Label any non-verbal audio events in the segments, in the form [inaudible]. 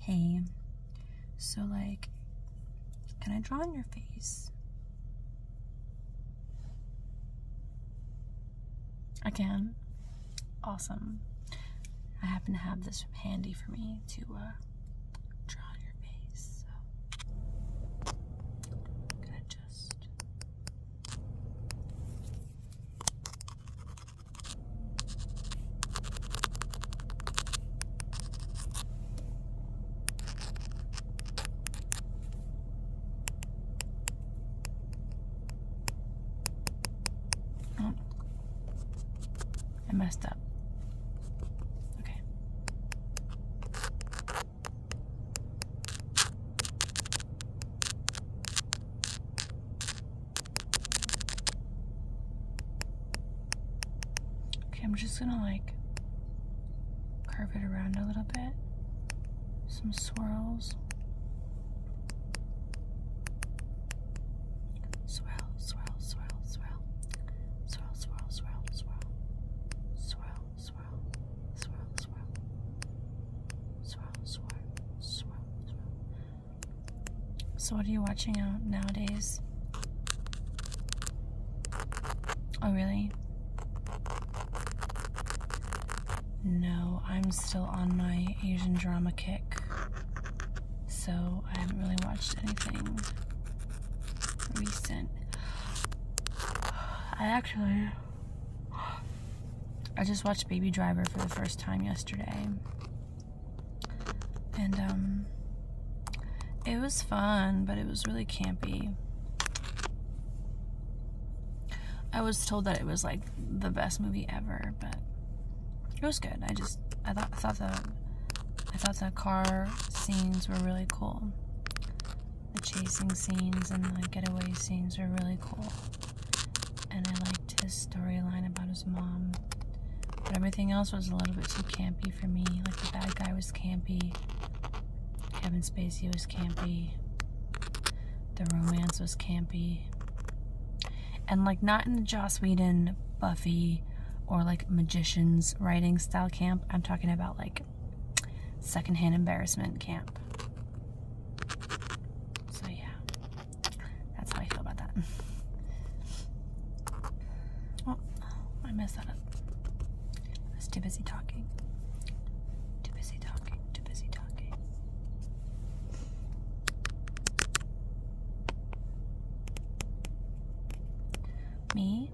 Hey, so like, can I draw on your face? I can. Awesome. I happen to have this handy for me to uh, draw on your face. So gonna just Oh, I messed up. Okay. Okay, I'm just gonna like curve it around a little bit. Some swirls. Swirl, swirl, swirl, swirl. Swirl, swirl, swirl, swirl. Swirl, swirl, swirl, swirl. Swirl, swirl, swirl, swirl. So, what are you watching out nowadays? Oh, really? No, I'm still on my Asian drama kick, so I haven't really watched anything recent. I actually. I just watched Baby Driver for the first time yesterday. And um, it was fun, but it was really campy. I was told that it was like the best movie ever, but it was good. I just I thought I thought that I thought the car scenes were really cool. The chasing scenes and the getaway scenes were really cool and I liked his storyline about his mom. But everything else was a little bit too campy for me. Like the bad guy was campy, Kevin Spacey was campy, the romance was campy, and like not in the Joss Whedon, Buffy, or like magicians writing style camp. I'm talking about like secondhand embarrassment camp. So yeah that's how I feel about that. Oh, I messed that up. I was too busy talking. Too busy talking. Too busy talking. Me,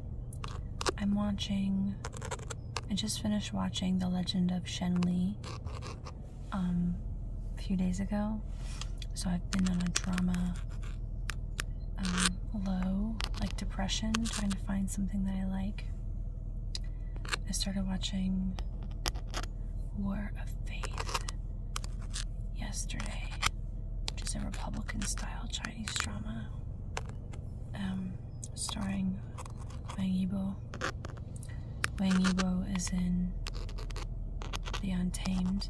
I'm watching. I just finished watching The Legend of Shen Li um, a few days ago. So I've been on a drama um, low, like depression, trying to find something that I like. I started watching War of Faith yesterday, which is a Republican style Chinese drama um, starring Wang Yibo Wang Yibo is in the untamed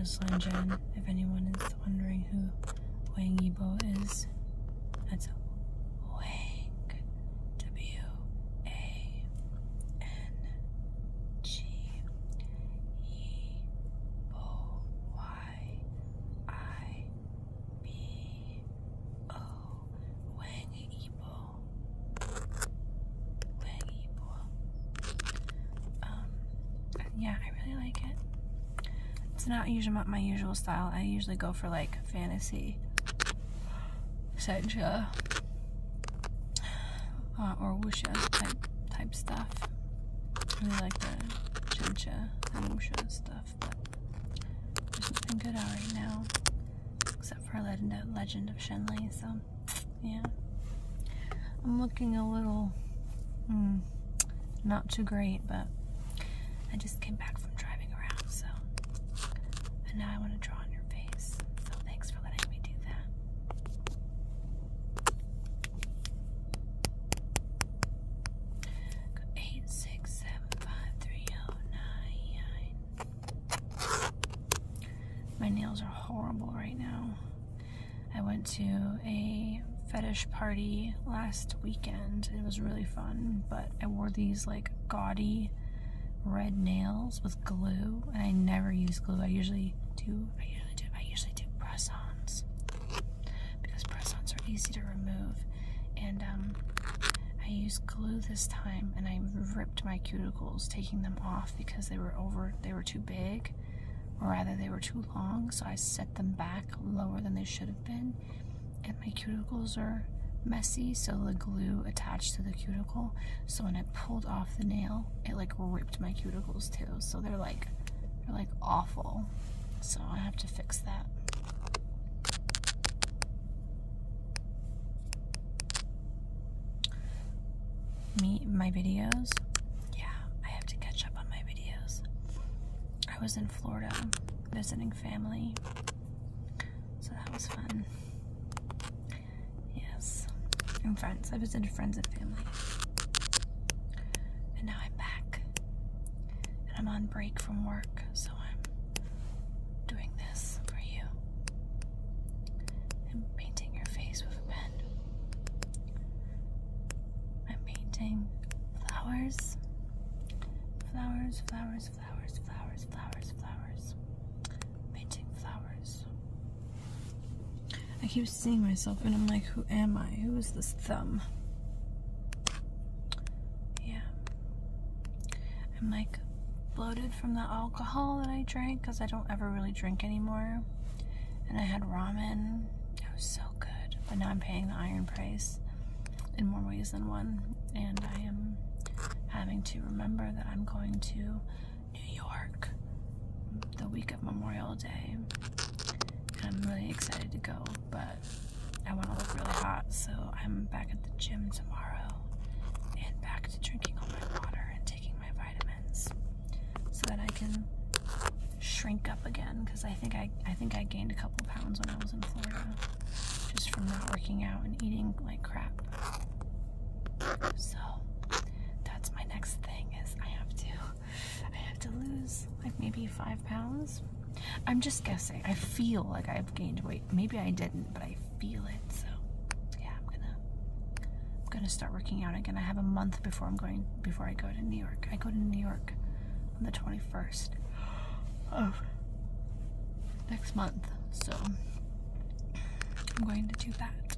Aslan Jan. If anyone is wondering who Wang Yibo is, that's Wang W A N G E O Y I B O Wang Yibo leggy um, yeah, I really like it. It's not usually my usual style. I usually go for like fantasy, sencha, uh, or wuxia type, type stuff. I really like the chencha and wuxia stuff, but there's nothing good out right now except for a legend, legend of Shenley, so yeah, I'm looking a little hmm, not too great, but I just came back from driving around, so and now I want to draw on your face. So thanks for letting me do that. Eight six seven five three oh nine nine. My nails are horrible right now. I went to a fetish party last weekend. It was really fun, but I wore these like gaudy red nails with glue, and I never use glue. I usually do, I usually do, I usually do press-ons because press-ons are easy to remove. And um, I used glue this time, and I ripped my cuticles, taking them off because they were over they were too big or rather they were too long so i set them back lower than they should have been and my cuticles are messy so the glue attached to the cuticle so when i pulled off the nail it like ripped my cuticles too so they're like they're like awful so i have to fix that me my videos. Yeah, I have to catch up on my videos. I was in Florida visiting family. So that was fun. Yes. And friends. I visited friends and family. And now I'm back. And I'm on break from work, so I'm doing this for you. I'm painting your face with a pen. I'm painting flowers. Flowers, flowers, flowers, flowers, flowers, flowers. I'm painting flowers. I keep seeing myself and I'm like, who am I? Who is this thumb? Yeah. I'm like bloated from the alcohol that I drank because I don't ever really drink anymore. And I had ramen. It was so good. But now I'm paying the iron price in more ways than one. And I am having to remember that I'm going to New York the week of Memorial Day. And I'm really excited to go, but I want to look really hot, so I'm back at the gym tomorrow and back to drinking all my water and taking my vitamins so that I can shrink up again because I think I I think I gained a couple pounds when I was in Florida just from not working out and eating like crap. So that's my next thing is I have to I have to lose like maybe five pounds. I'm just guessing. I feel like I've gained weight. Maybe I didn't, but I feel it. So yeah, I'm gonna I'm gonna start working out again. I have a month before I'm going before I go to New York. I go to New York on the 21st of next month. So I'm going to do that.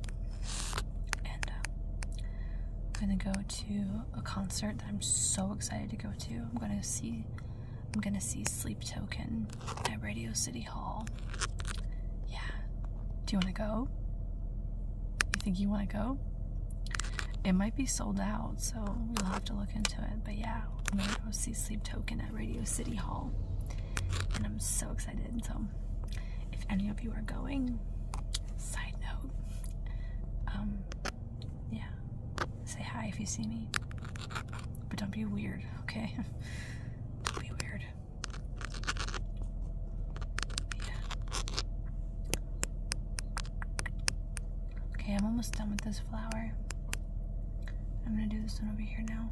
And uh, I'm gonna go to a concert that I'm so excited to go to. I'm gonna see I'm gonna see Sleep Token at Radio City Hall. Yeah. Do you want to go? You think you want to go? It might be sold out, so we'll have to look into it. But yeah, I'm going to see Sleep Token at Radio City Hall. And I'm so excited. So, if any of you are going, side note, um, yeah, say hi if you see me. But don't be weird, okay? don't [laughs] be weird. Okay, I'm almost done with this flower. I'm gonna do this one over here now.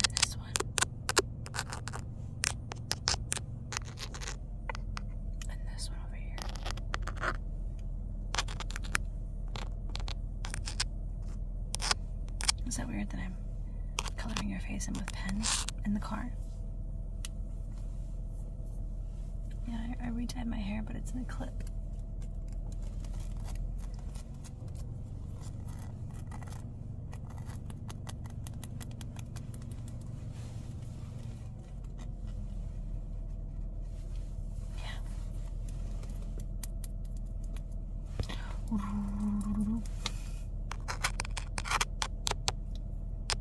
And this one. And this one over here. Is that weird that I'm coloring your face in with pen in the car? Yeah, I, I retied my hair, but it's in a clip.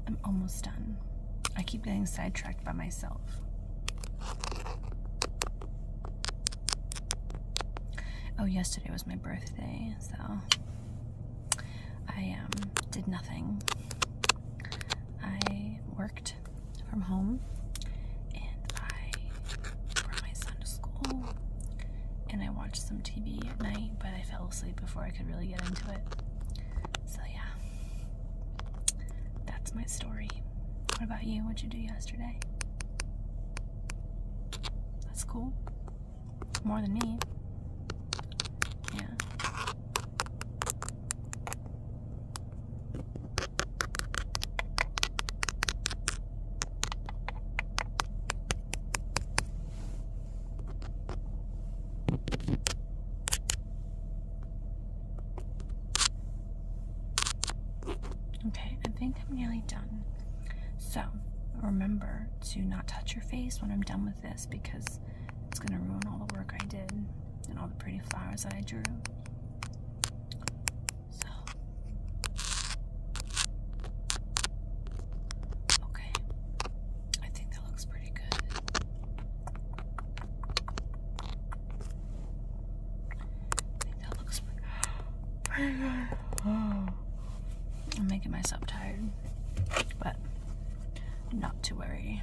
I'm almost done. I keep getting sidetracked by myself. Oh, yesterday was my birthday so I um, did nothing. I worked from home and I brought my son to school and I watched some TV at night, but I fell asleep before I could really get into it. So, yeah, that's my story. What about you? What'd you do yesterday? That's cool. More than me. Yeah. Okay, I think I'm nearly done. So remember to not touch your face when I'm done with this because it's going to ruin all the work I did and all the pretty flowers that I drew. So. Okay. I think that looks pretty good. That looks pretty I'm making myself tired, but not to worry.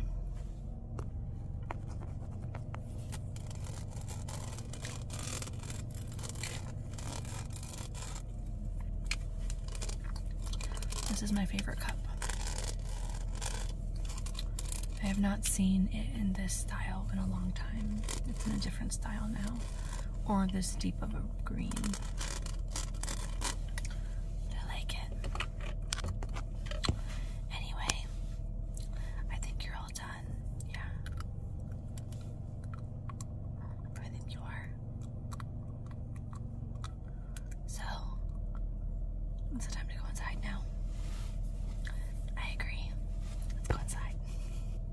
This is my favorite cup. I have not seen it in this style in a long time. It's in a different style now or this deep of a green. I like it. Anyway, I think you're all done. Yeah. I think you are. So, it's time to go inside now. I agree. Let's go inside.